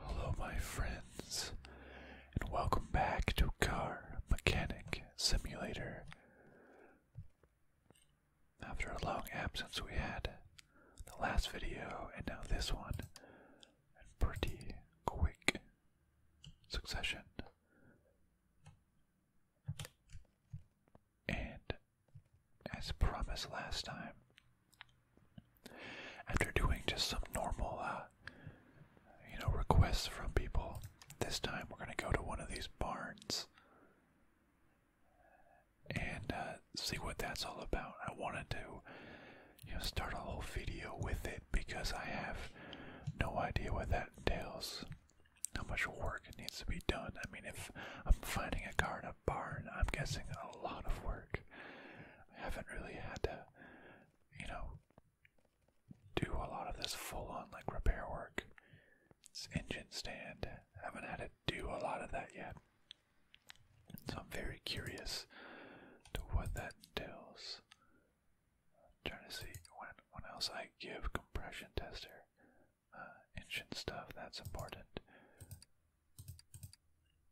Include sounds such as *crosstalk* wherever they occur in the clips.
Hello, my friends, and welcome back to Car Mechanic Simulator. After a long absence, we had the last video and now this one and pretty quick succession. And as promised last time. After doing just some normal, uh, you know, requests from people, this time we're gonna go to one of these barns and uh, see what that's all about. I wanted to, you know, start a whole video with it because I have no idea what that entails. How much work it needs to be done? I mean, if I'm finding a card, barn, I'm guessing a lot of work. I haven't really had to, you know, do a lot of this full on like repair work. It's engine stand. I haven't had to do a lot of that yet. So I'm very curious to what that entails. trying to see when when else I give compression tester ancient uh, stuff. That's important.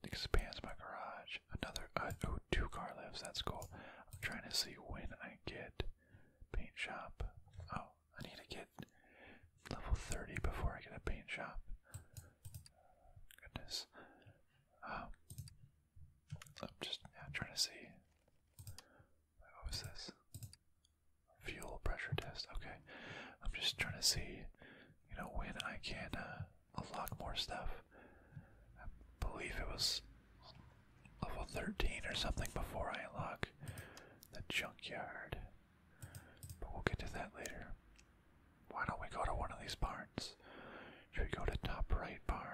Expands my garage. Another uh, oh, two car lifts. That's cool. I'm trying to see when I get paint shop. Oh, I need to get level 30 before I get a paint shop. Goodness. Um, I'm just yeah, trying to see. What was this? Fuel pressure test. Okay. I'm just trying to see, you know, when I can uh, unlock more stuff. I believe it was level 13 or something before I unlock the junkyard. But we'll get to that later. Why don't we go to one of these barns? Should we go to top right barn?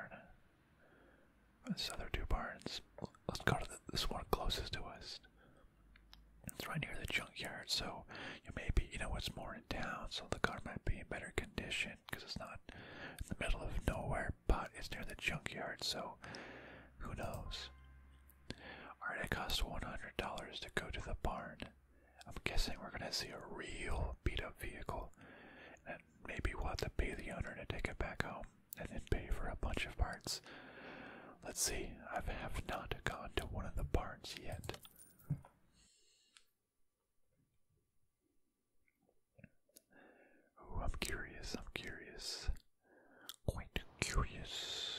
This other two barns. Let's go to the, this one closest to us. It's right near the junkyard, so maybe you know, what's more in town, so the car might be in better condition because it's not in the middle of nowhere, but it's near the junkyard, so who knows? Alright, it costs $100 to go to the barn. I'm guessing we're going to see a real beat up vehicle, and maybe we'll have to pay the owner to take it back home and then pay for a bunch of parts. Let's see, I have not gone to one of the barns yet. Oh, I'm curious, I'm curious. Quite curious.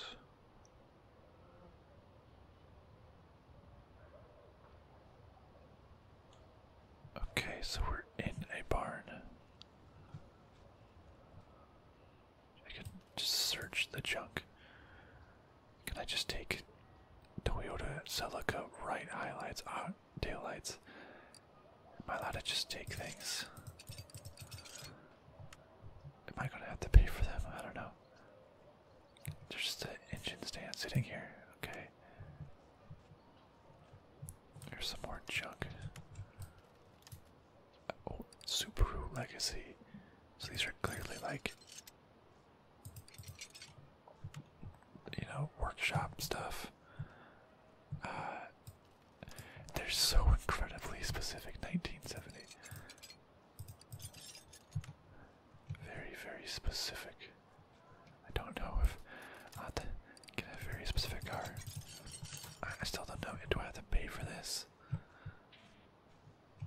Okay, so we're in a barn. I could just search the junk. Can I just take Toyota Celica right highlights out uh, daylights? Am I allowed to just take things? Am I gonna have to pay for them? I don't know. There's just an engine stand sitting here. Okay. There's some more junk. Oh, Subaru Legacy. So these are clearly like, you know, workshop stuff. Uh, they're so incredibly specific. 1970. Very, very specific. I don't know if uh, I can have a very specific car. I, I still don't know. Do I have to pay for this?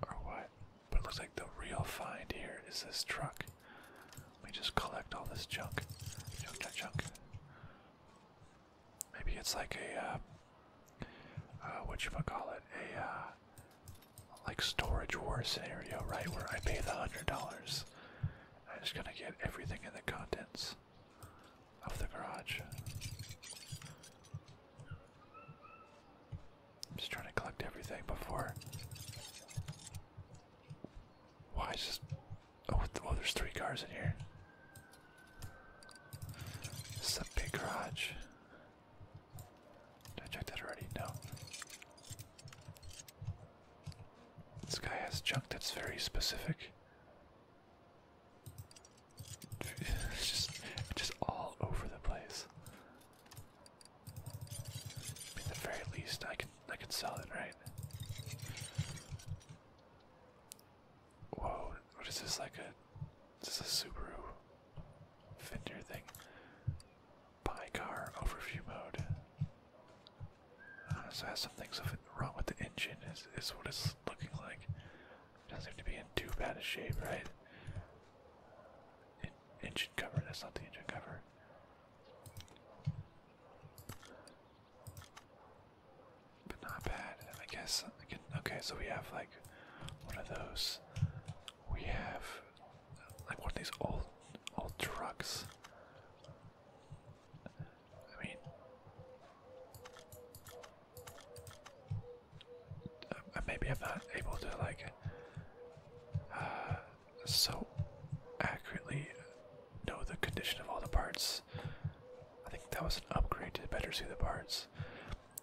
or what? But it looks like the real find here is this truck. Let me just collect all this junk. Junk, junk, junk. Maybe it's like a, uh, uh, what I call it? a, uh, like storage war scenario, right? Where I pay the $100. I'm just gonna get everything in the contents of the garage. I'm just trying to collect everything before. Why is this? Oh, oh, there's three cars in here. This a big garage. Did I check that already? No. This guy has junk that's very specific. It's *laughs* just, just all over the place. I at the very least, I can I can sell it, right? Whoa! What is this? Like a is this a Subaru vendor thing? Buy car overview mode. I uh, so it has some things wrong with the engine. Is is what it's looking like. Doesn't seem to be in too bad a shape, right? engine cover, that's not the engine cover. But not bad, I guess. okay, so we have like one of those. We have like one of these old, old trucks. I mean, maybe I'm not able to like uh, so accurately know the condition of all the parts. I think that was an upgrade to better see the parts.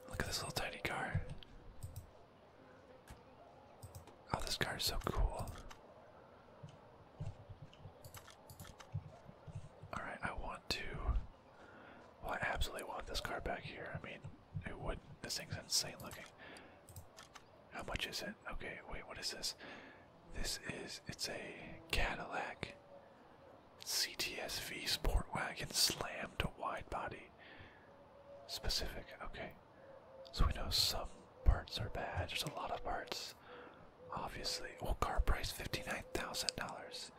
Look at this little tiny car. Oh, this car is so cool. Alright, I want to well, I absolutely want this car back here. I mean, it would. This thing's insane looking. How much is it? Okay, wait, what is this? This is. It's a Cadillac CTSV Sport Wagon Slam to Wide Body. Specific, okay. So we know some parts are bad. Just a lot of parts. Obviously. Well, car price $59,000.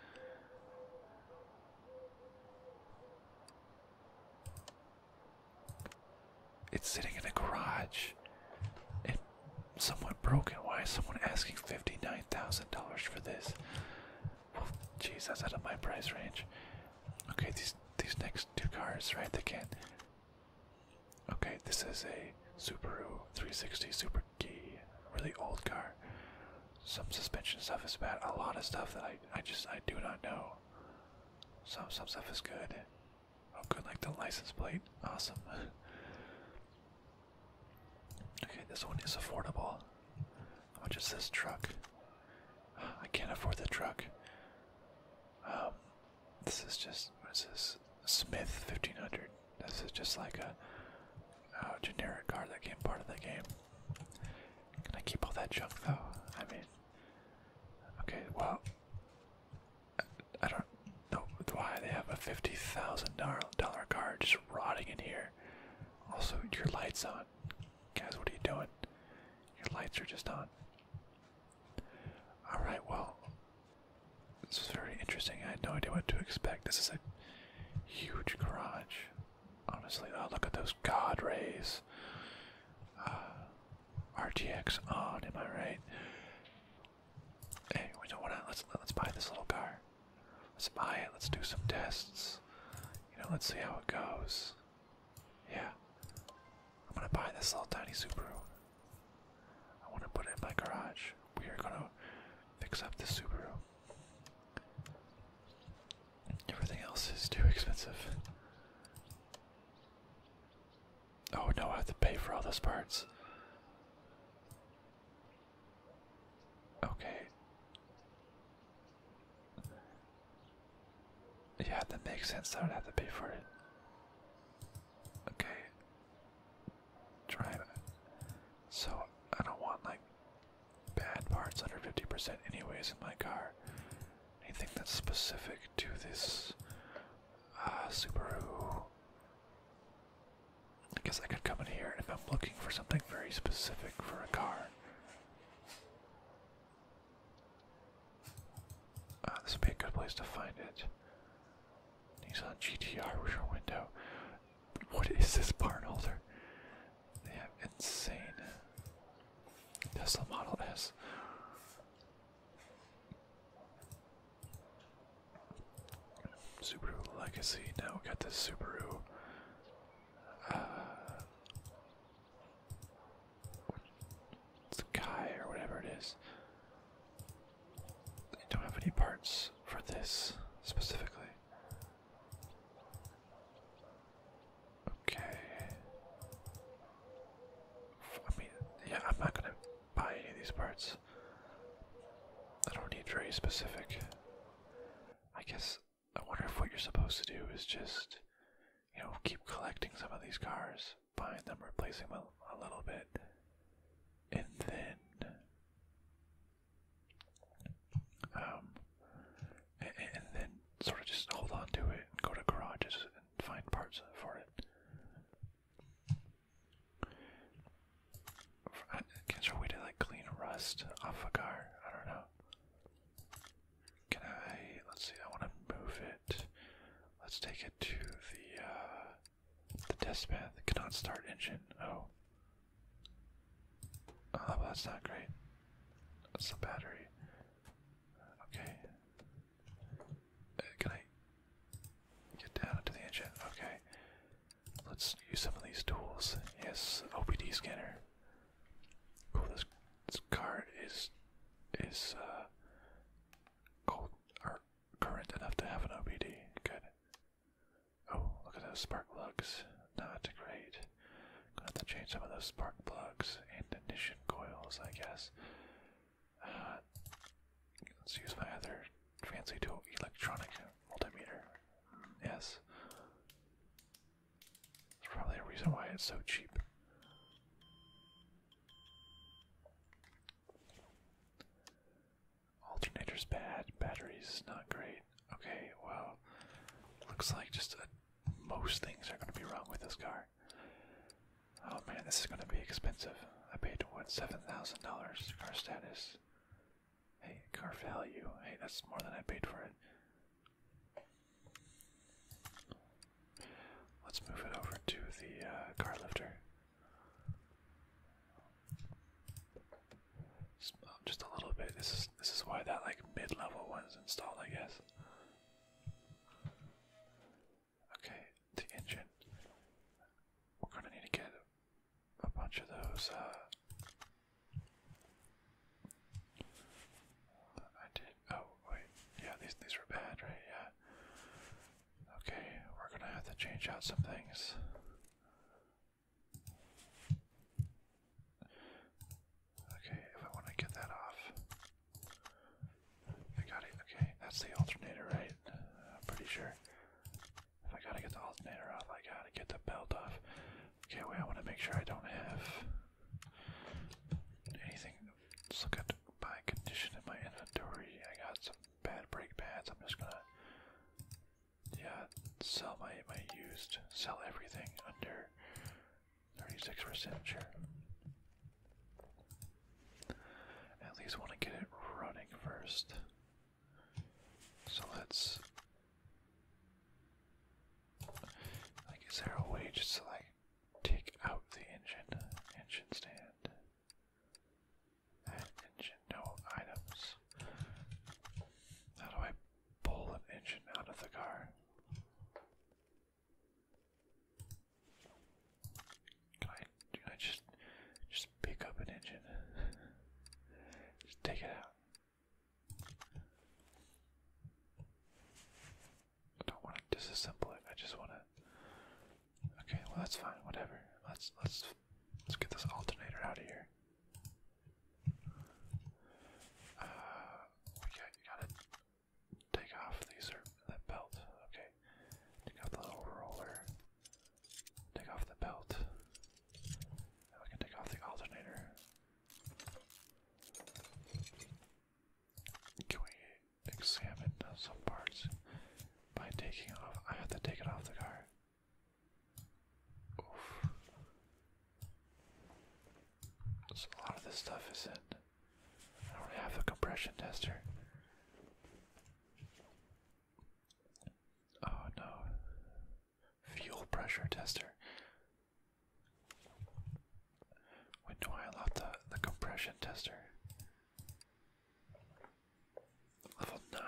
It's sitting in a garage and somewhat broken. Why is someone asking $59,000 for this? Well, geez, that's out of my price range. Okay, these these next two cars, right? They can't. Okay, this is a Subaru 360 Super G, really old car some suspension stuff is bad. A lot of stuff that I I just I do not know. Some some stuff is good. I'm oh, good, like the license plate. Awesome. *laughs* okay, this one is affordable. How much is this truck? I can't afford the truck. Um, this is just what is this? Smith fifteen hundred. This is just like a generic car that came part of the game. Can I keep all that junk though? I mean, okay, well, I, don't know why they have a fifty thousand dollar car just rotting in here. Also, your lights on, guys. What are you doing? Your lights are just on. All right, well, this is very interesting. I had no idea what to expect. This is a huge garage. Honestly, oh, look at those god rays. Uh, RTX on, am I right? Hey, we don't want to. Let's let's buy this little car. Let's buy it. Let's do some tests. You know, let's see how it goes. Yeah, I'm gonna buy this little tiny Subaru. I want to put it in my garage. We are gonna fix up this Subaru. Everything else is too expensive. Oh no, I have to pay for all those parts. Okay. Yeah, that makes sense. I would have to pay for it. Okay. Drive. So I don't want like bad parts under 50% anyways in my car. Anything that's specific to this uh, Subaru. I guess I could come in here if I'm looking for something very specific for a car. Uh, this would be a good place to find it. Nissan GTR rear window. What is this barn holder? They have insane Tesla Model S. Subaru Legacy. Now we got the Subaru. it's uh, the guy or whatever it is. They don't have any parts for this specifically. Okay. I mean, yeah, I'm not gonna buy any of these parts. I don't need very specific. I guess I wonder if what you're supposed to do is just, you know, keep collecting some of these cars, buying them, replacing them a, a little bit, and then um, and, then sort of just hold on to it and go to garages and find parts for it. I guess there way to like clean rust off a car? I don't know. Can I? Let's see. I want to move it. Let's take it to the uh, the test path. Cannot start engine. Oh, Oh, that's not great. That's the battery. Okay. Uh, can I get down into the engine? Okay. Let's use some of these tools. Yes, OPD scanner. Cool. This this card is is uh cold or current enough to have an OBD. Good. Oh, look at those spark plugs not great. Gonna change some of those spark plugs and ignition coils, I guess. Uh, let's use my other fancy tool, electronic multimeter. Yes. There's probably a reason why it's so cheap. Alternator's bad, batteries not great. Okay, well, looks like just a most things are going to be wrong with this car. Oh man, this is going to be expensive. I paid what seven thousand dollars car status. Hey, car value. Hey, that's more than I paid for it. Let's move it over to the uh, car lifter. Uh, just a little bit. This is this is why that like mid-level one's installed, I guess. Okay, the engine. We're gonna need to get a bunch of those. Uh, I did. Oh wait, yeah, these these were bad, right? Yeah. Okay, we're gonna have to change out some things. Okay, if I want to get that off. I got it. Okay, that's the alternator, right? I'm pretty sure. If I gotta get the alternator off, I gotta get the belt off. Okay, wait, I want to make sure I don't have anything. Let's look at my condition in my inventory. I got some bad brake pads. I'm just gonna, yeah, sell my my used, sell everything under 36% sure. At least want to get it running first. So let's. Like, is there a way just to, like, take out the engine, engine stand? engine, no items. How do I pull an engine out of the car. Can I, can I just just pick up an engine? *laughs* just take it out. I don't want to disassemble it. I just want to. Okay, well that's fine. Whatever. Let's let's let's get this alternator out of here. Uh, we got, to take off these belt. Okay, take off the little roller. Take off the belt. Now we can take off the alternator. Can we examine some parts by taking off? I have to take it off the car. So a lot of this stuff is in. I don't have a compression tester. Oh no. Fuel pressure tester. When do I unlock the, the compression tester? Level 9.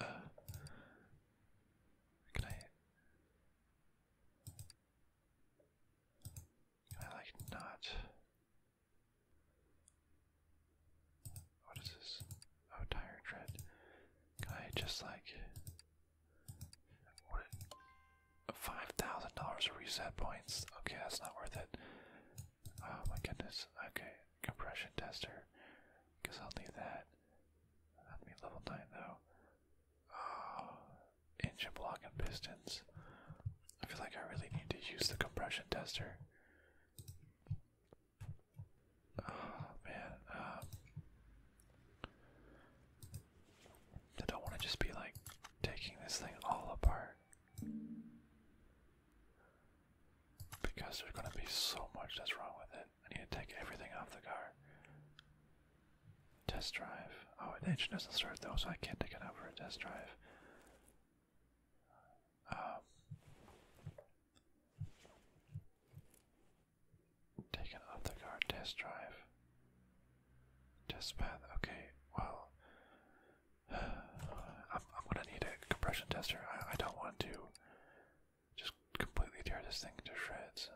Uh, can I. I like not. What is this? Oh, tire tread. Can I just like. What? Five thousand dollars reset points. Okay, that's not worth it. Oh my goodness. Okay, compression tester. Guess I'll need that. That'd be level nine though. *sighs* engine block and pistons. I feel like I really need to use the compression tester. *sighs* Oh man, um, I don't want to just be like taking this thing all apart because there's going to be so much that's wrong with it. I need to take everything off the car. Test drive. Oh, the engine doesn't start though, so I can't take it out for a test drive. Um, take it off the car. Test drive. Test path. Okay. Well, *sighs* I'm gonna need a compression tester. I don't want to just completely tear this thing to shreds.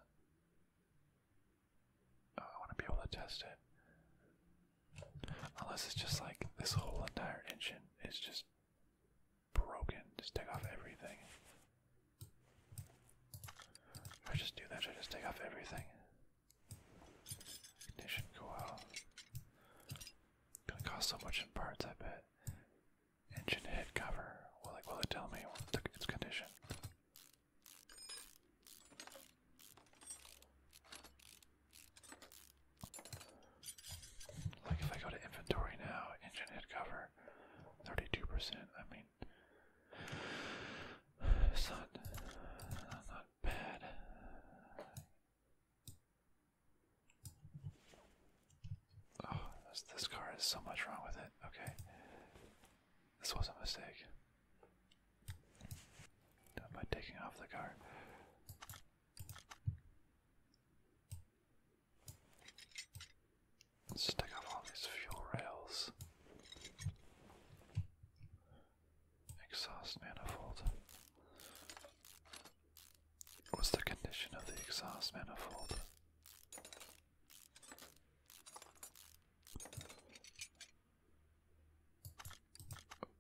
Oh, I want to be able to test it. Unless it's just like this whole entire engine is just broken. Just take off everything. Should I just do that? Should I just take off everything? go out. Gonna cost so much in parts, I bet. Engine head cover. Well, like, will it tell me what its condition? Like if I go to inventory now, engine hit cover, thirty-two percent. I mean, not not bad. Oh, this car has so much wrong with it. Okay. This was a mistake. Done by taking off the car. Stick off all these fuel rails. Exhaust manifold. What's the condition of the exhaust manifold?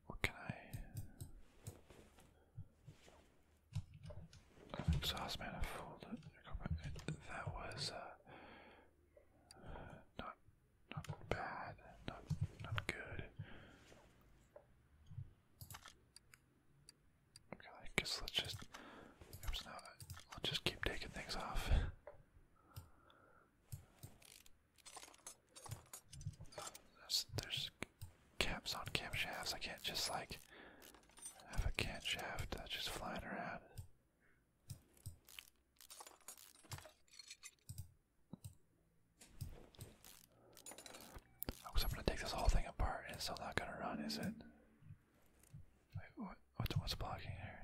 What can I? exhaust oh, manifold. That was uh, not not bad. Not not good. Okay, I guess let's just. Oops, no, let's just keep taking things off. There's, there's on camshafts. I can't just like have a camshaft that's just flying around. Oh, I'm gonna take this whole thing apart and it's still not gonna run, is it? what's blocking here?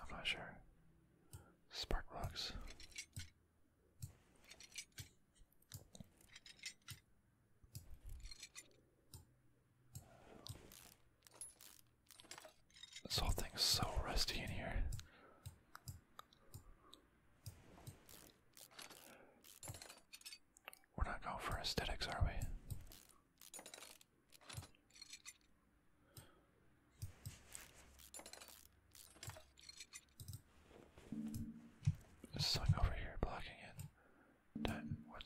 I'm not sure. Spark rocks. This whole thing's so rusty in here. We're not going for aesthetics, are we? There's something over here blocking it. That, what?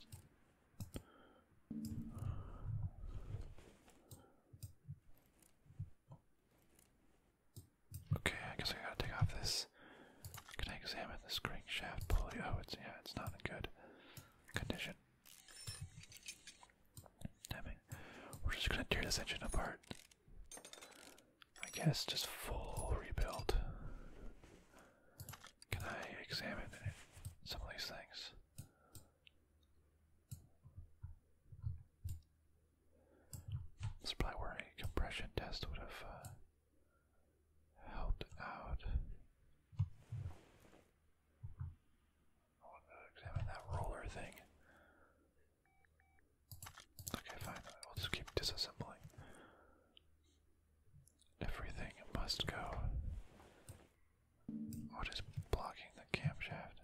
Okay, I guess I gotta take off this. Can I examine the crank shaft pulley? Oh, it's yeah, it's not in good condition. Damn it. We're just gonna tear this engine apart. I guess just full rebuild. Can I examine some of these things? That's probably where a compression test would have uh, helped out. examine that roller thing. Okay, fine. We'll just keep disassembling. Everything must go. What is blocking the camshaft?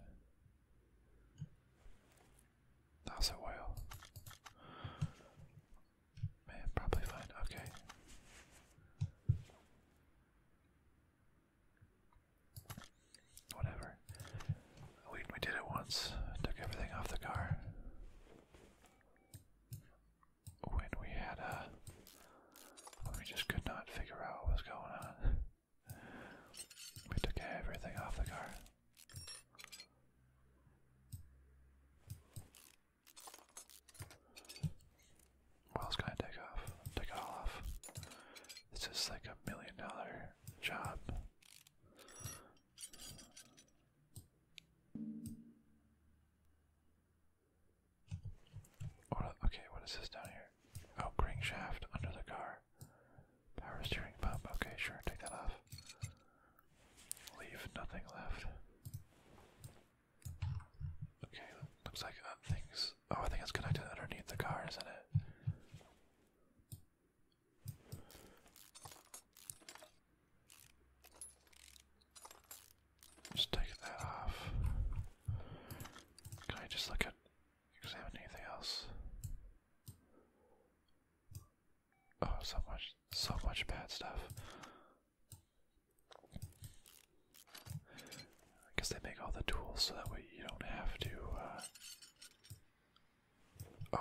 That was a whale. Man, probably fine. Okay. Whatever. We we did it once. Took everything off the car. When we had a, uh, we just could not figure out what was going on. We took everything off the car. What else can I take off? Take it all off. This is like a million dollar job. okay, what is this down here? Oh, green under the car power. steering pump. Okay, sure, take that off. Leave nothing left. Okay, looks like uh, things. Oh, I think it's connected underneath the car, isn't it? Just take that off. Can just look at examine anything else? Oh, so much, so much bad stuff. I guess they make all the tools so that way you don't have to. Uh,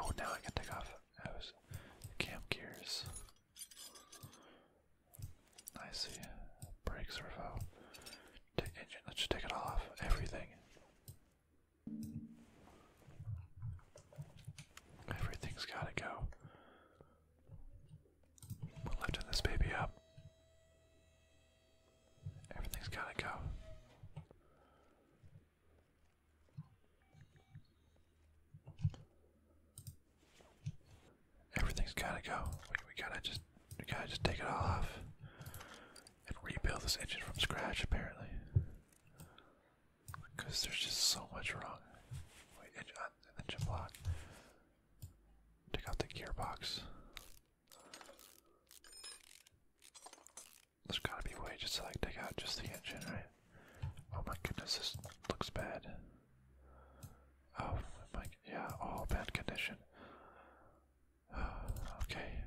oh, now I can take off those camp gears. I see. Brakes, revolve. Let's take it all off. Everything. Everything's gotta go. We're lifting this baby up. Everything's gotta go. Everything's gotta go. we gotta just, we gotta just take it all off and rebuild this engine from scratch. Apparently, because there's just so much wrong. Wait, uh, engine, block. Take out the gearbox. There's gotta be way just to like take out just the engine, right? Oh my goodness, this looks bad. Oh my, yeah, all bad condition. *sighs* okay.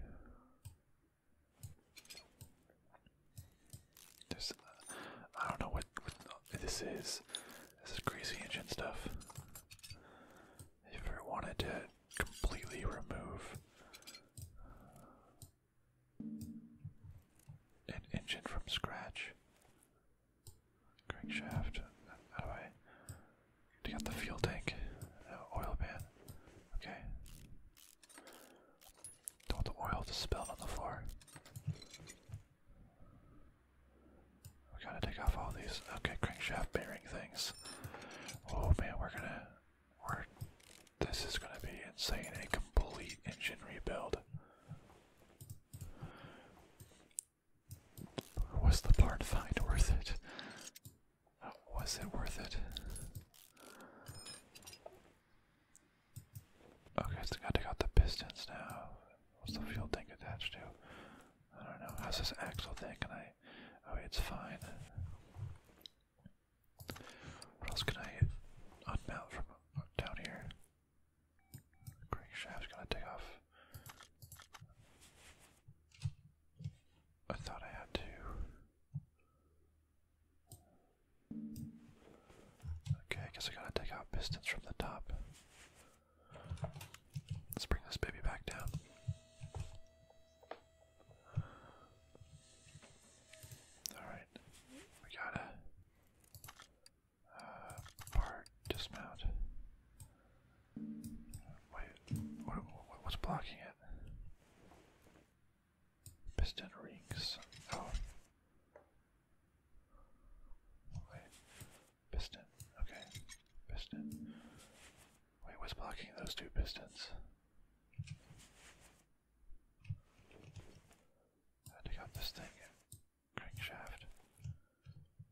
Uh, I don't know what, this is. This is greasy engine stuff. If I wanted to completely remove an engine from scratch, crankshaft, how do I? To get the fuel tank, uh, oil pan. Okay. Don't want the oil to spill on the floor. We gotta take off all these. Okay, crankshaft bearing things. Oh man, we're gonna. We're. This is gonna be insane. A complete engine rebuild. Was the part find worth it? Was it worth it? Okay, so I gotta take out the pistons now. What's the fuel tank attached to? I don't know. How's this axle thing? Can I? Oh, it's fine. What else can I unmount from down here? Crank shaft's gonna take off. I thought I had to. Okay, I guess I gotta take out pistons from the top. Let's bring this baby back down. Alright, we gotta uh, part, dismount. Wait, what's blocking it? Piston rings. Oh. Wait. Piston. Okay. Piston. Wait, what's blocking those two pistons? had to cut this thing. Crankshaft.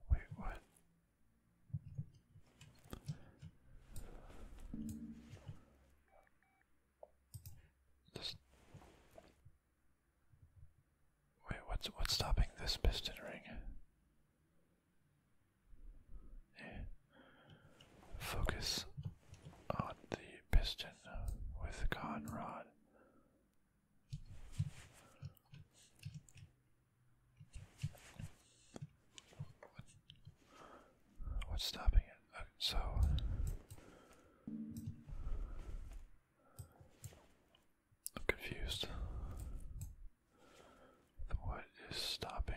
Wait, what? Wait, what's what's stopping this piston ring? Focus on the piston with the What's stopping it? so I'm confused. What is stopping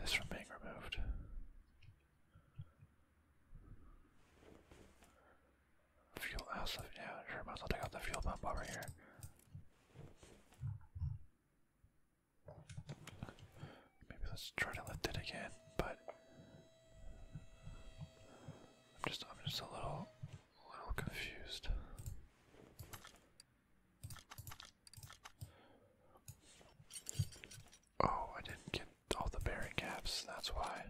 this from being removed? Fuel yeah, sure might take out the fuel pump over here. Maybe let's try to lift it again, but I'm just I'm just a little little confused. Oh, I didn't get all the bearing caps, that's why.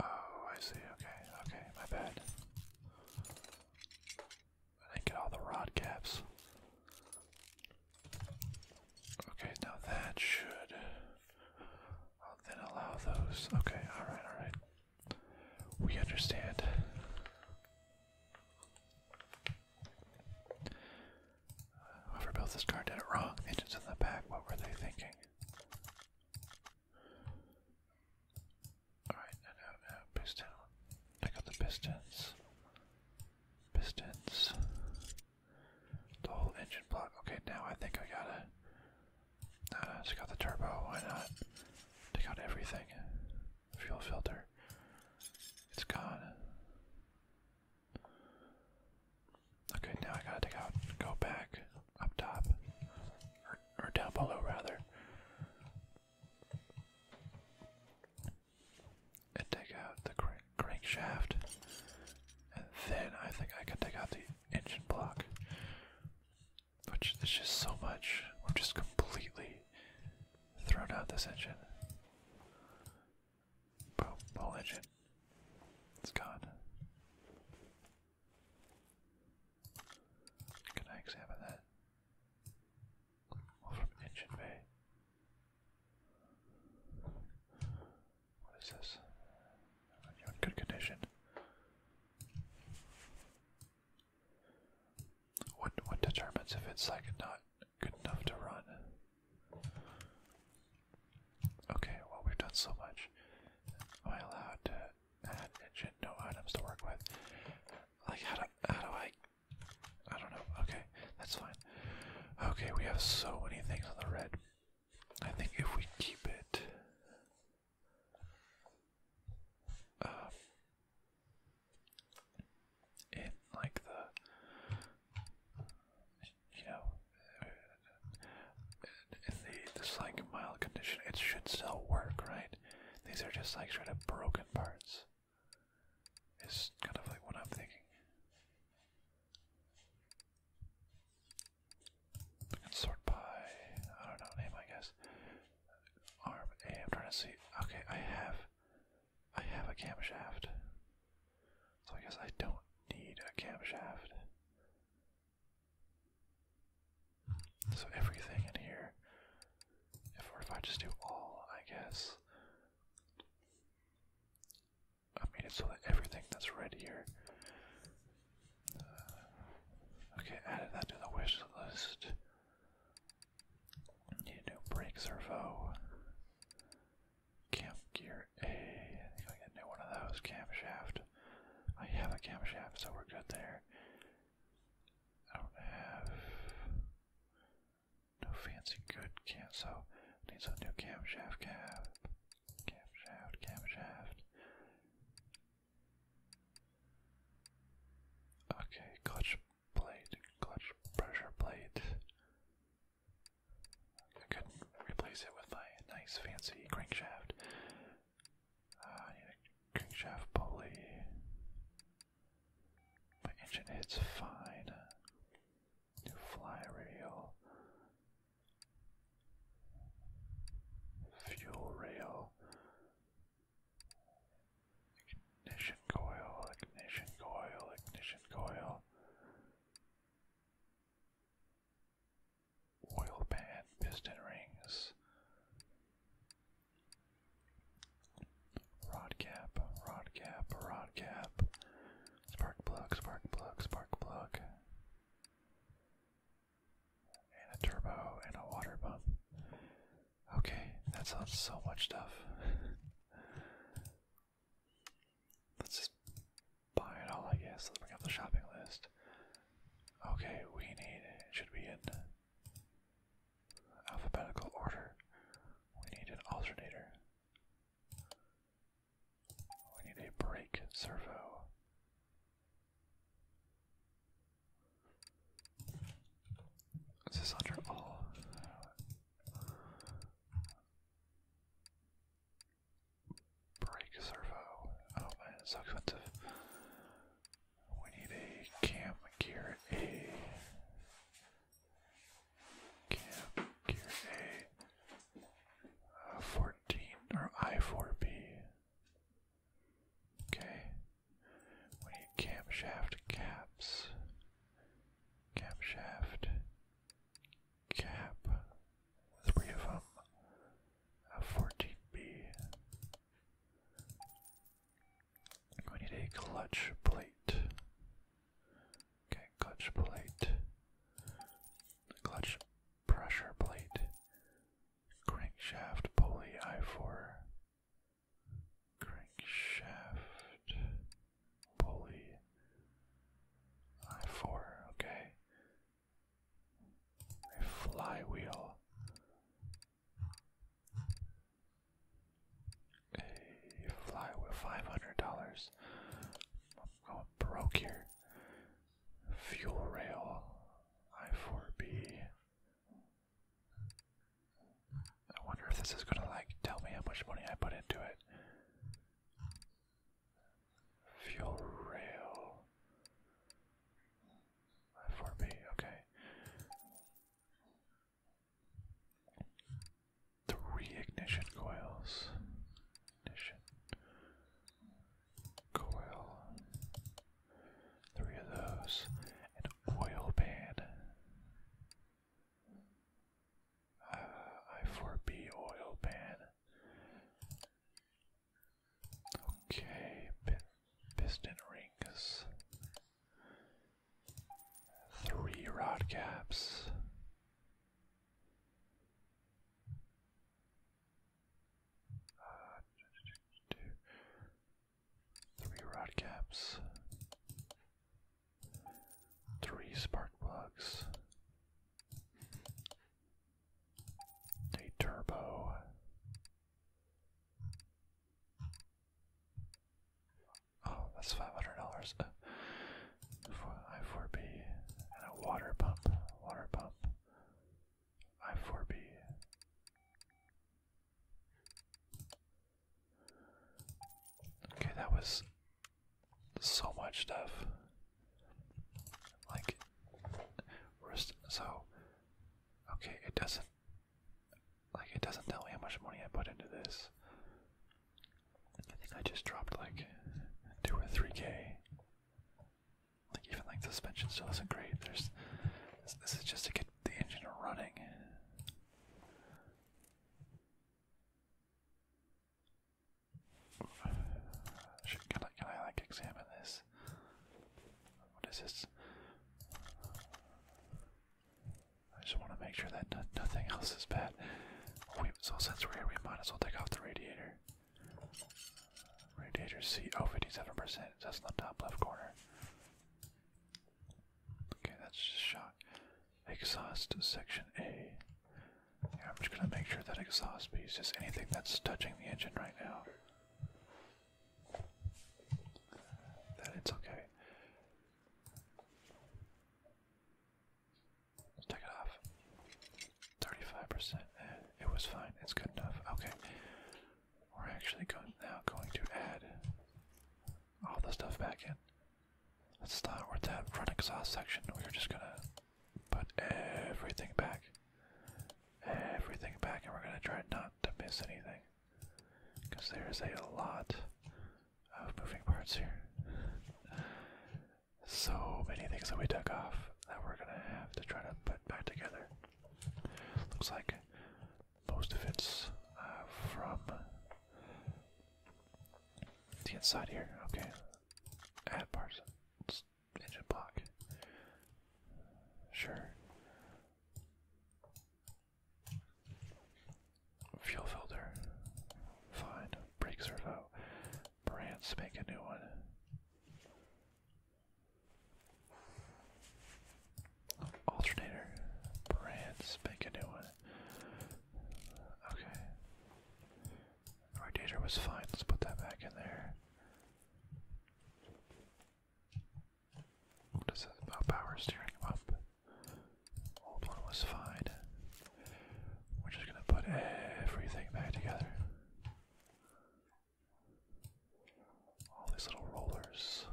Oh, I see. Okay, okay, my bad. I get all the rod caps. Okay, now that should then allow those. Okay, alright, alright. We understand. Whoever built this car did it wrong. Engines in the back, what were they thinking? Alright, no, no, no, piston. I got the pistons. Pistons. The whole engine block. Okay, now I think I got it. No, I just got the turbo. Why not? Take out everything. Fuel filter. It's gone. Okay, now I gotta take out. Go back up top, or, or down below rather and take out the crankshaft, and then I think I can take out the engine block. But there's just so much. We've just completely thrown out this engine. whole engine. It's gone. Can I examine that? from Engine Bay. What is this? You're in good condition. What what determines if it's like not good enough to run? Okay, well we've done so much. Am I allowed to add engine no items to work with? Like how do how do I I don't know. Okay, that's fine. Okay, we have so many things on the red. I think if we keep it. Um, in like the you know uh, in the this like mild condition it should still work right these are just like sort of broken parts is kind of like what I'm thinking. sort by, I don't know, name I guess. Arm A, I'm trying to see. Okay, I have, I have a camshaft. So I guess I don't need a camshaft. So everything in here if or if I just do all, I guess. I made it so that everything that's red here. Uh, okay, added that to the wish list. Need new brake servo. Camp gear A. I think I get a new one of those. Camshaft. I have a camshaft, so we're good there. I don't have. No fancy good cam, so needs a new camshaft cab. Camshaft, camshaft. Okay, clutch plate, clutch pressure plate. I could replace it with my nice fancy crankshaft. Ah, crankshaft pulley. My engine hits fine. Fuel rail. Ignition coil, ignition coil, ignition coil. Oil pan, piston rings. Rod cap, rod cap, rod cap. Spark plug, spark plug, spark plug. And a turbo and a water pump. Okay, that's on so much stuff. *laughs* Let's just buy it all, I guess. Let's bring up the shopping list. Okay, we need Should be in alphabetical order. We need an alternator. We need a brake servo. Is this under all? Brake servo. Oh man, it's expensive. We need a cam gear A. Camp Gear A, 14 or I4B. Okay, we need camshaft caps. Camshaft cap, three of them. A 14B. We need a clutch plate. Okay, clutch plate, clutch pressure plate, crankshaft pulley I4, crankshaft pulley I4, okay, a flywheel a flywheel, five hundred dollars. I'm going broke here. Fuel rail, I4B. I wonder if this is gonna like tell me how much money I put into it. Fuel rail. I4B, okay. Three ignition coils. coil. Three of those. An oil pan. Uh, I4B oil pan. Okay, piston rings. Three rod caps. three rod caps. Three spark plugs. A turbo. Oh, that's five hundred dollars. Uh, I four B and a water pump. Water pump. I four B. Okay, that was so much stuff. Like, so okay, it doesn't like it doesn't tell me how much money I put into this. I think I just dropped like two or three K. Like even like suspension still isn't great. There's this, this is just to get the engine running. Should, can I can I like examine this? What is this? I just want to make sure that nothing else is bad. so since we're here, we might as well take off the radiator. Radiator C, oh, 57%, that's in the top left corner. Okay, that's shock. Exhaust section A. am just gonna make sure that exhaust piece is anything that's touching the engine right now. That it's okay take it off. 35%. Eh, it was fine. It's good enough. Okay. We're actually going, now going to add all the stuff back in. Let's start with that front exhaust section. We're just going to put everything back. Everything back, and we're going to try not to miss anything. Because there's a lot of oh, moving parts here. so many things that we took off that we're gonna have to try to put back together. Looks like most of it's uh, from the inside here. Okay, add parts. engine block. Sure. Fuel filter. Fine. Brake servo. Brands make a new one. Alternator. Brands make a new one. Okay. Rotator was fine. Let's put that back in there. What is that? Oh, power steering up. Old one was fine. We're just gonna put everything back together. All these little rollers.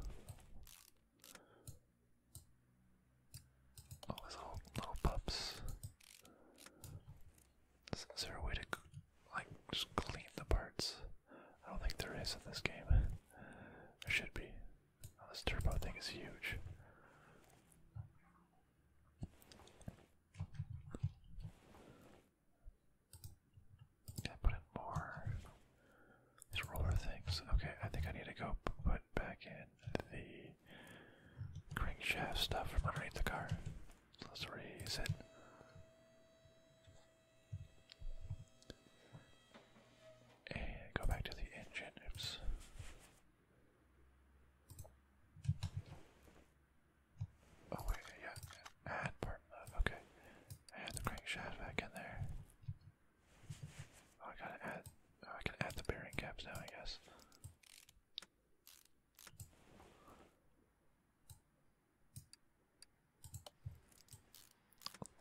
All these little little pups. Is, there a way to like just clean the parts? I don't think there is in this game. There should be. Oh, this turbo thing is huge. Can put in more? These roller things. Okay, I think I need to go put back in the crankshaft stuff from underneath the car. let's raise it. And go back to the engine. Oh yeah, add part okay. Add the crankshaft back in there. Oh, I gotta add, oh, I can add the bearing caps now, I guess.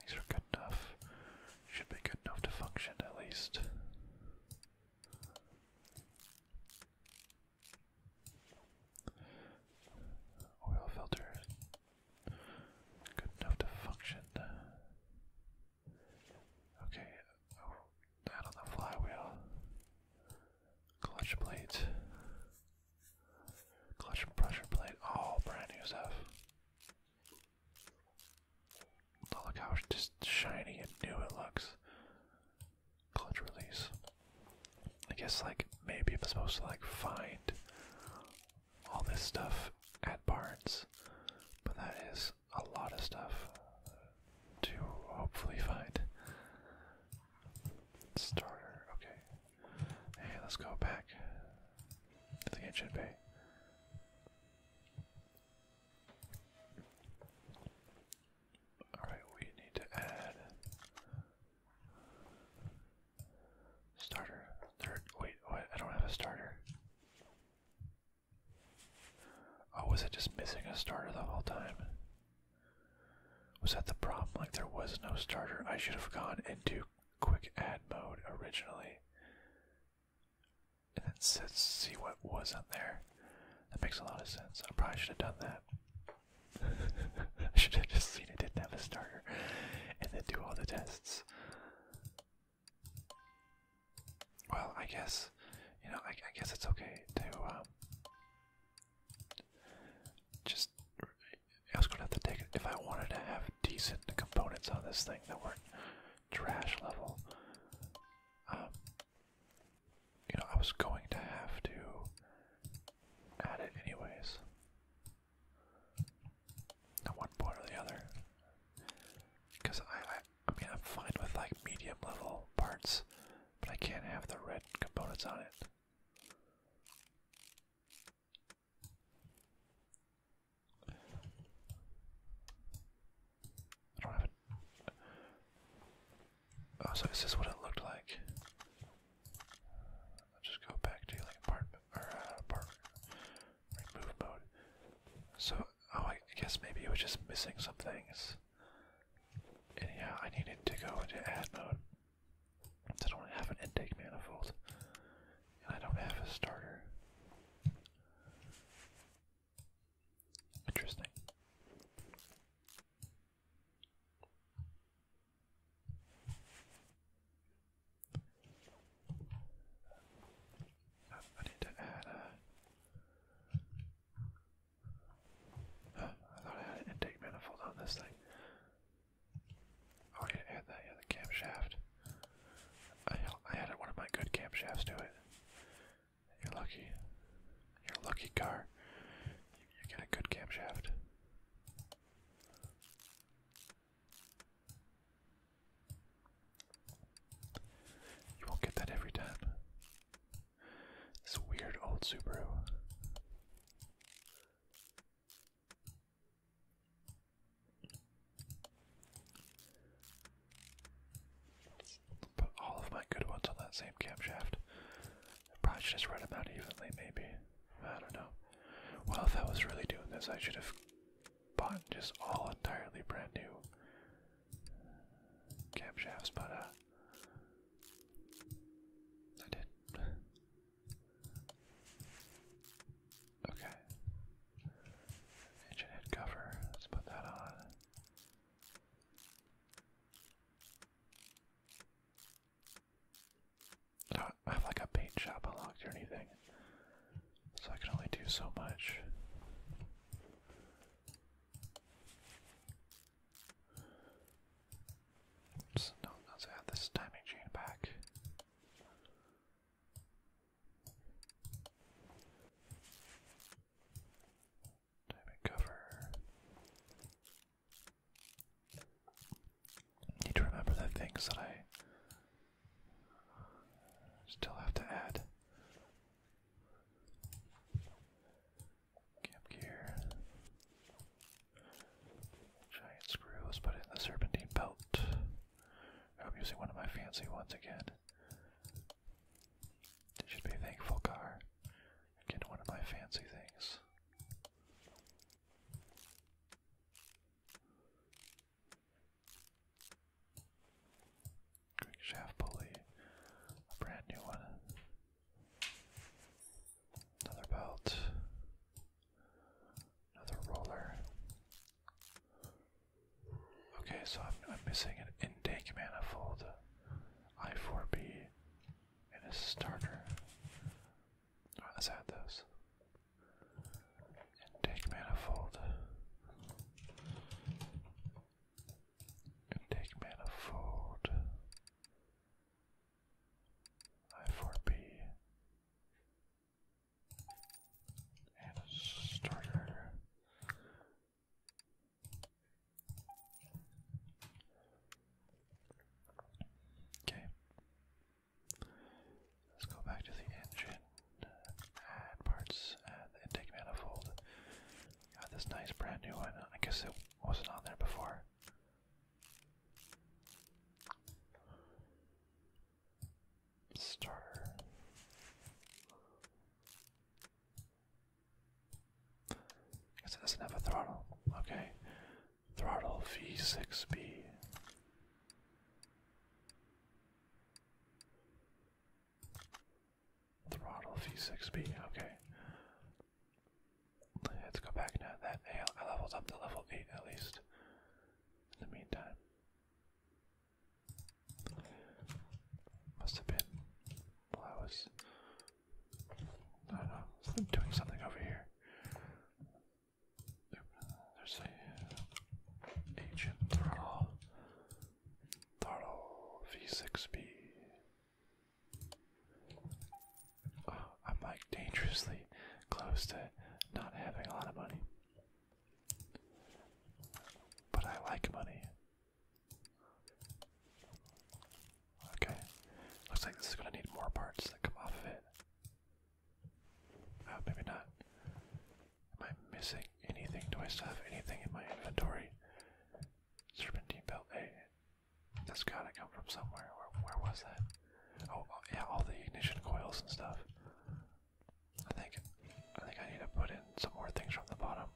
These are good enough. Should be good enough to function at least. Oil oh, filter good enough to function. Okay, oh, on the flywheel. Clutch plate. Clutch pressure plate. All brand new stuff look how just shiny and new it looks. Clutch release. I guess, like, maybe I'm supposed to, like, find all this stuff at Barnes, but that is a lot of stuff to hopefully find. Starter, okay. Hey, let's go back to the ancient bay. Alright, we need to add starter. wait, I don't have a starter. Oh, was it just missing a starter the whole time? Was that the problem? Like there was no starter. I should have gone into quick add mode originally and then let's see what was on there. That makes a lot of sense. I probably should have done that. *laughs* I should have just seen it didn't have a starter, and then do all the tests. Well, I guess you know. I, guess it's okay to um, just. I was gonna have to take if I wanted to have decent components on this thing that weren't trash level. Um, you know, I was going to have to add it anyways. At one point or the other. Because I, I, I mean, I'm fine with like medium level parts, but I can't have the red components on it. I Oh, so is this what it looked like? just go back to apartment or uh, apartment remove mode. So, oh, I guess maybe it was just missing some things. And yeah, I needed to go into add mode. I don't have an intake manifold, and I don't have a starter. Interesting. Uh, I need to add a. thought I had an intake manifold on this thing. Oh, I add that, yeah, the camshaft. I, I added one of my good camshafts to it. You're lucky. You're lucky, car. You get a good camshaft. You won't get that every time. This weird old Subaru. Put all of my good ones on that same camshaft. I probably should just run them out evenly, maybe. I don't know. Well, if I was really doing this, I should have bought just all entirely brand new camshafts, but uh, I did. Okay. Engine head cover. Let's put that on. I have like a paint shop unlocked or anything, so I can only do so much. no, let's add this timing chain back. Diamond cover. Need to remember the things that I still have to add. Camp gear. Giant screws, but in the serpentine belt. I'm using one of my fancy ones again. You should be thankful, car. getting one of my fancy things. Quick pulley, a brand new one. Another belt, another roller, Okay, so I'm, missing an intake manifold, I4B, and a starter. Oh, let's add those. Intake manifold. Intake manifold. I4B. And a starter. Okay. Let's go back to the engine, add parts, add intake manifold. Got this nice brand new one. I guess it wasn't on there before. Starter. Because it doesn't have a throttle. Okay. Throttle V6B. Throttle V6B. Okay. Let's go back now. That I leveled up to level 8 at least. In the meantime. Must have been while I was. I don't know. I'm doing something over here. There's a uh, agent throttle. V6B. am like dangerously close to not having a lot of money. But I like money. Okay. Looks like this is going to need more parts that come off of it. Oh, maybe not. Am I missing anything? Do I still have anything in my inventory? Serpentine belt. A. that's gotta come from somewhere. Where, where was that? Oh, uh, yeah, all the ignition coils and stuff. I think, I think I need to put in some more things from the bottom.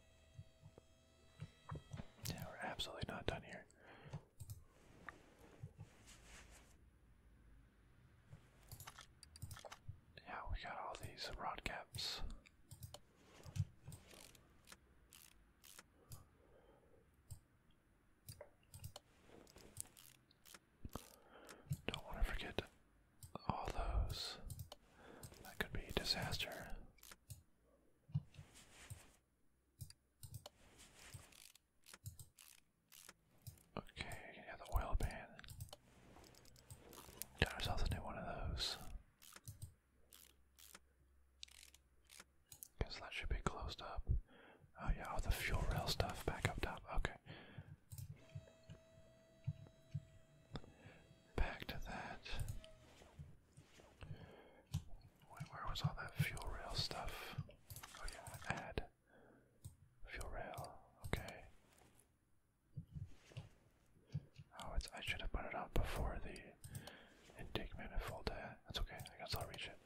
Yeah, we're absolutely not done here. Yeah, we got all these rod caps. Don't want to forget all those. That could be a disaster. Okay, yeah, the oil pan. Got ourselves a new one of those. Guess that should be closed up. Oh yeah, all the fuel rail stuff back up top. Okay back to that. where was all that fuel rail stuff? Oh yeah, add fuel rail. Okay. Oh, it's. I should have put it on before the intake manifold. Uh, that's okay. I guess I'll reach it.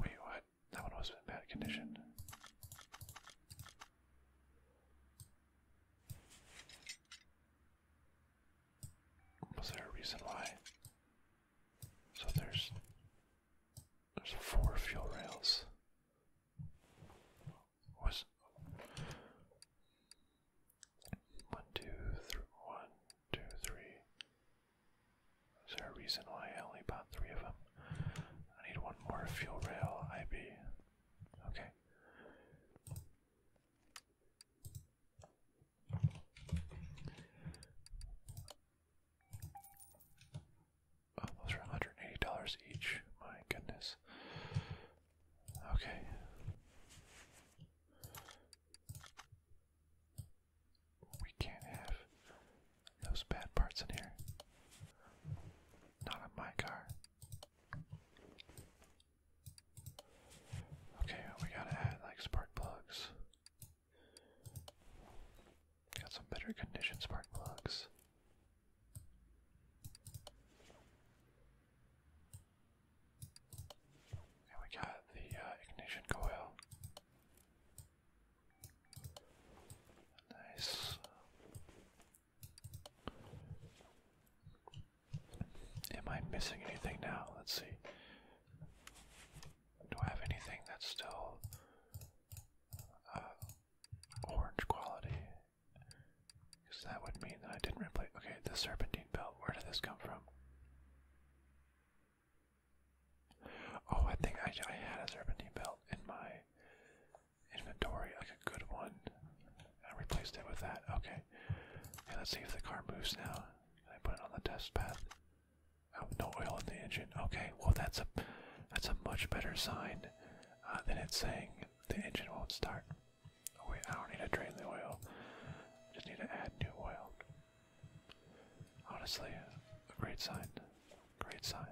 Wait, what? That one was in bad condition. Was there a reason why? So there's there's four fuel rails. Was one, two, three, one, two, three. Is there a reason why I only bought three of them? I need one more fuel rail IB. Okay. those are $180 each. My goodness. Okay. We can't have those bad parts in here. Not on my car. Okay, we gotta add like spark plugs. Got some better condition spark plugs. And we got the uh, ignition coil. Nice. Am I missing anything now? Let's see. Do I have anything that's still uh, orange quality? Because that would mean that I didn't replace. Okay, the serpentine belt. Where did this come from? Oh, I think I, I had a serpentine belt in my inventory, like a good one. I replaced it with that. Okay. let's see if the car moves now. Can I put it on the test path? Oh, no oil in the engine. Okay, well that's a that's a much better sign uh, than it's saying the engine won't start. Oh wait, I don't need to drain the oil. I just need to add new oil. Honestly, a great sign. Great sign.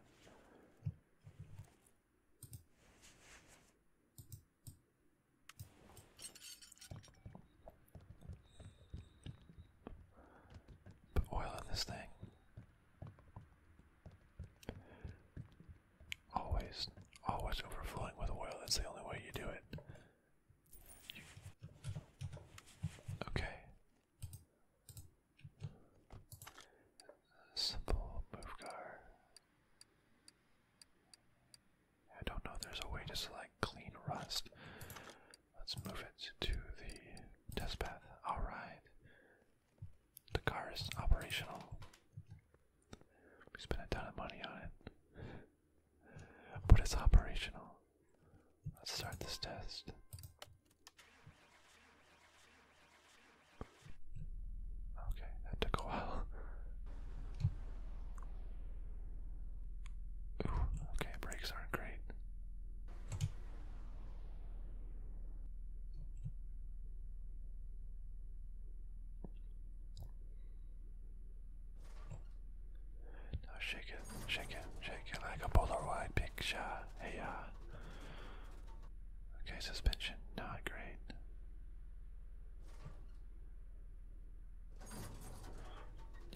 Put oil in this thing. Always, always overflowing with oil. That's the only way you do it. Okay. Simple move car. I don't know, there's a way to select clean rust. Let's move it to the test path. Alright. The car is operational. We spent a ton of money on it. but it's operational. Let's start this test. Okay, that took a while. Ooh, okay, brakes aren't great. Now shake it, shake it, shake it like a Polaroid picture. Hey, yeah. Okay, suspension, not great.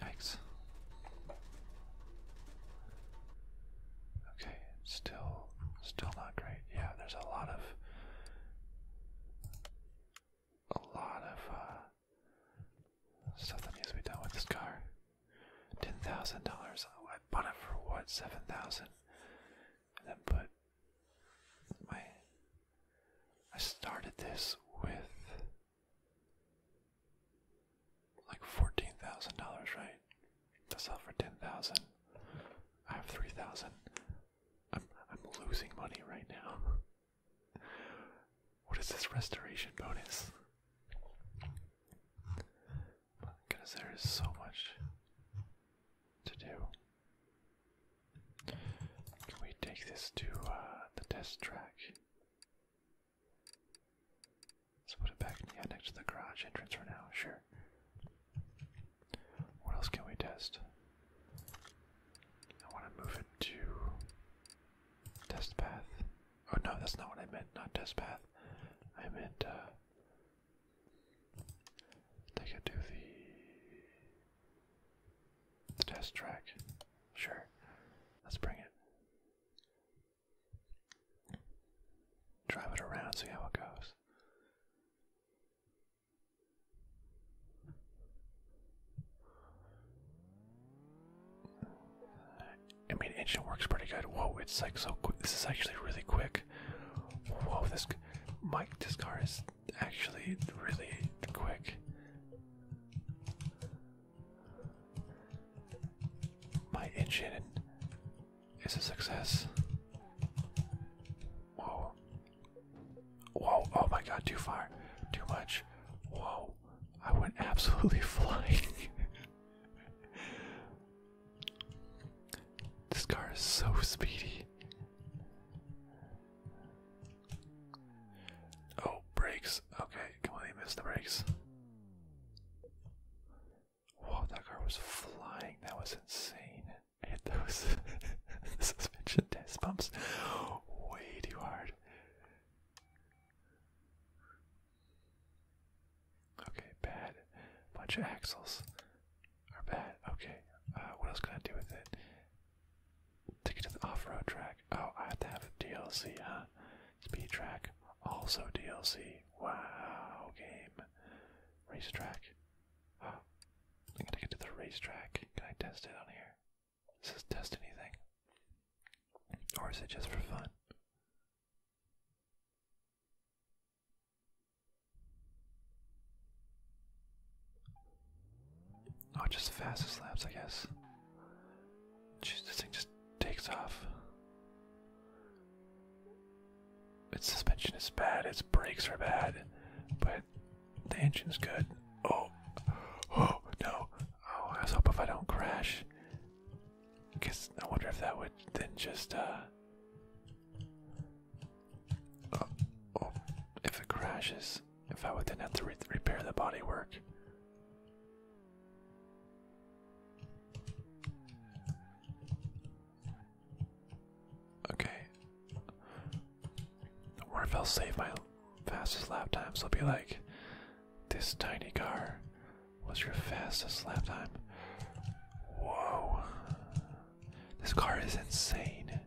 Yikes. Okay, still, still not great. Yeah, there's a lot of, a lot of uh, stuff that needs to be done with this car. Ten thousand dollars. I bought it for what? Seven thousand, and then put my I started this with like fourteen thousand dollars, right? That's all for ten thousand. I have three thousand. I'm I'm losing money right now. *laughs* What is this restoration bonus? Because there is so much to do. Can we take this to uh, the test track? Let's put it back next to the garage entrance for now, sure. What else can we test? I want to move it to test path. Oh no, that's not what I meant. Not test path. I meant uh, they could do the, test track. Sure. Let's bring it. Drive it around, see how it goes. I mean, engine works pretty good. Whoa, it's like so quick. This is actually really quick. Whoa, this Mike, this car is actually really quick. My engine is a success. Whoa. Whoa, oh my god, too far. Too much. Whoa. I went absolutely *laughs* flying. This car is so speedy. Oh, brakes. Okay, come on, he missed the brakes. Whoa, that car was flying. That was insane. hit those *laughs* suspension test bumps way too hard. Okay, bad. Bunch of axles are bad. Okay, uh, what else can I do with it? Take it to the off-road track. Oh, I have to have a DLC, huh? Speed track, also DLC. Wow, game. Racetrack. Oh, I gotta get to the racetrack. Can I test it on here? This is test anything? Or is it just for fun? Oh, just the fastest laps, I guess. this thing just takes off. Its suspension is bad, its brakes are bad, but the engine's good. Oh, oh no! Oh, I was hoping if I don't crash, guess I wonder if that would then just uh, Oh, oh, if it crashes, if I would then have to repair the bodywork. Okay. Or if I'll save my fastest lap time, so it'll be like this tiny car was your fastest lap time. Whoa. This car is insane.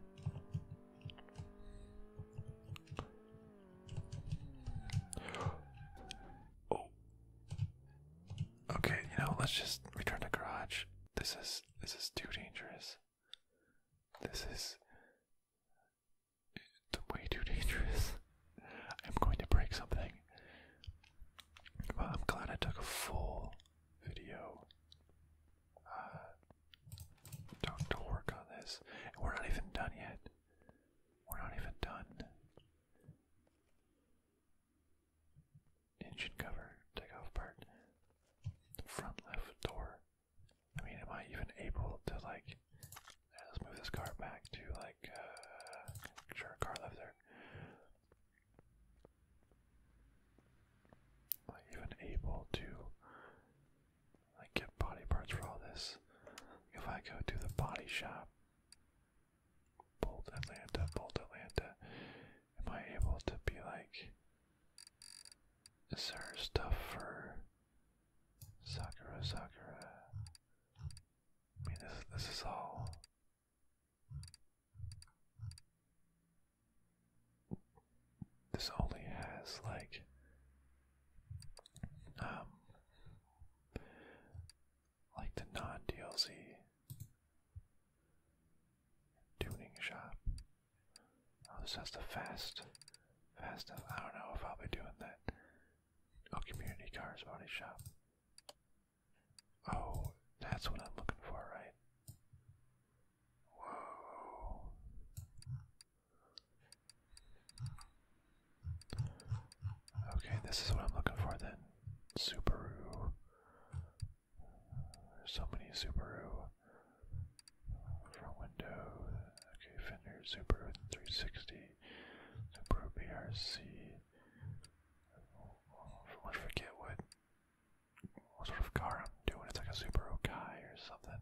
Oh. Okay, you know, let's just return to garage. This is this is too dangerous. This is way too dangerous. *laughs* I'm going to break something. I'm glad I took a full video uh, do work on this. We're not even done yet. We're not even done. Engine cover, take off part, front left door. I mean, am I even able to like? Let's move this car back to like. Uh, sure, car left there. Am Like even able to like get body parts for all this. If I go to the body shop, Bolt Atlanta, Bolt Atlanta, am I able to be like, is there stuff for Sakura Sakura? I mean, this this is all this only has like um like the non DLC tuning shop. Oh, this has the fast fast I don't know if I'll be doing that. Oh community cars body shop. Oh, that's what I'm looking for, right? Okay, this is what I'm looking for then. Subaru. There's so many Subaru. Front window. Okay, fender, Subaru 360, Subaru BRC. I forget what what sort of car I'm doing. It's like a Subaru Kai or something.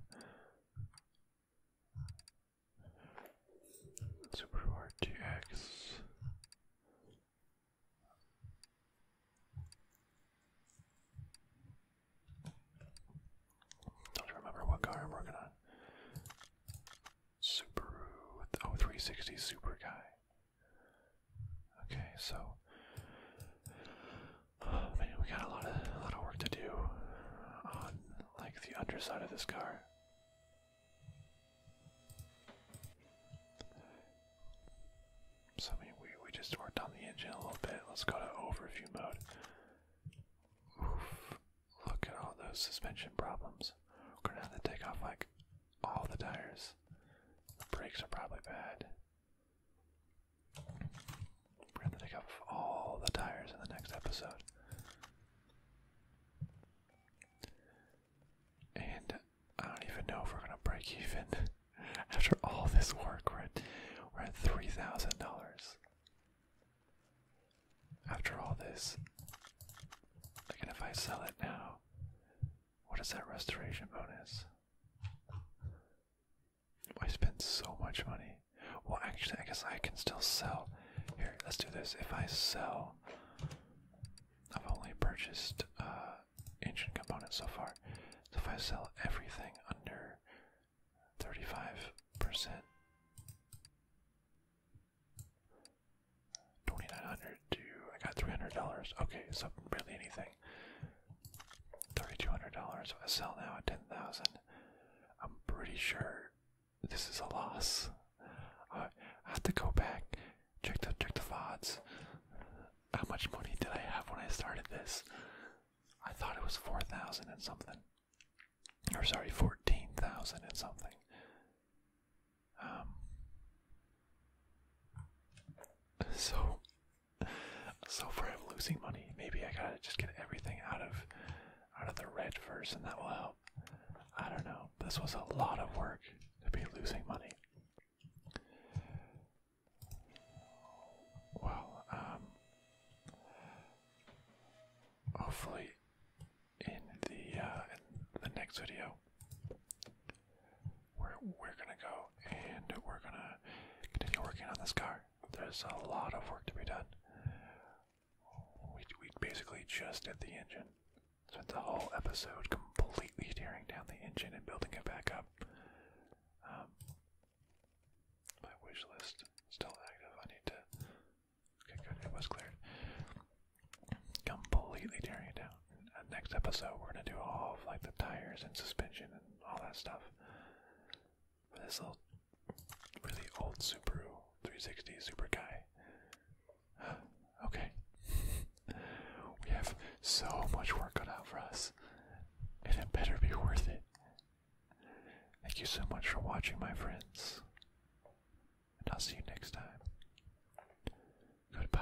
Subaru RTX. Don't remember what car I'm working on. Subaru, oh, Super Kai. Okay, so oh, man, we got a lot of lot of work to do on like the underside of this car. So I mean, we we just worked on the engine a little bit. Let's go to overview mode. Oof! Look at all those suspension problems. We're gonna have to take off like all the tires. The brakes are probably bad. We're gonna take off all the tires in the next episode. And I don't even know if we're gonna break even *laughs* after all this work. We're at, we're at three thousand dollars. After all this, and if I sell it now, what is that restoration bonus? I spent so much money. Well, actually, I guess I can still sell. Here, let's do this. If I sell, I've only purchased ancient uh, components so far. So if I sell everything under 35%, 2900 to I got $300. Okay, so really anything. $3,200. I sell now at 10000 I'm pretty sure this is a loss. I have to go back, check the, check the VODs. How much money did I have when I started this? I thought it was 4000 and something. Or sorry, 14,000 and something. Um, so, so far I'm losing money. Maybe I gotta just get everything out of out of the red first, and that will help. I don't know. This was a lot of work to be losing money. Well, um, hopefully in the uh, in the next video we're gonna go and we're gonna continue working on this car. There's a lot of work to be done. We we basically just did the engine. Spent the whole episode completely tearing down the engine and building it back up. Um, my wish list still active. I need to. Okay, good. It was cleared. Completely tearing it down. next episode, we're gonna do all of like the tires and suspension and all that stuff this little really old Subaru 360 Super Guy. *gasps* okay. *laughs* we have so much work cut out for us, and it better be worth it. Thank you so much for watching, my friends, and I'll see you next time. Goodbye.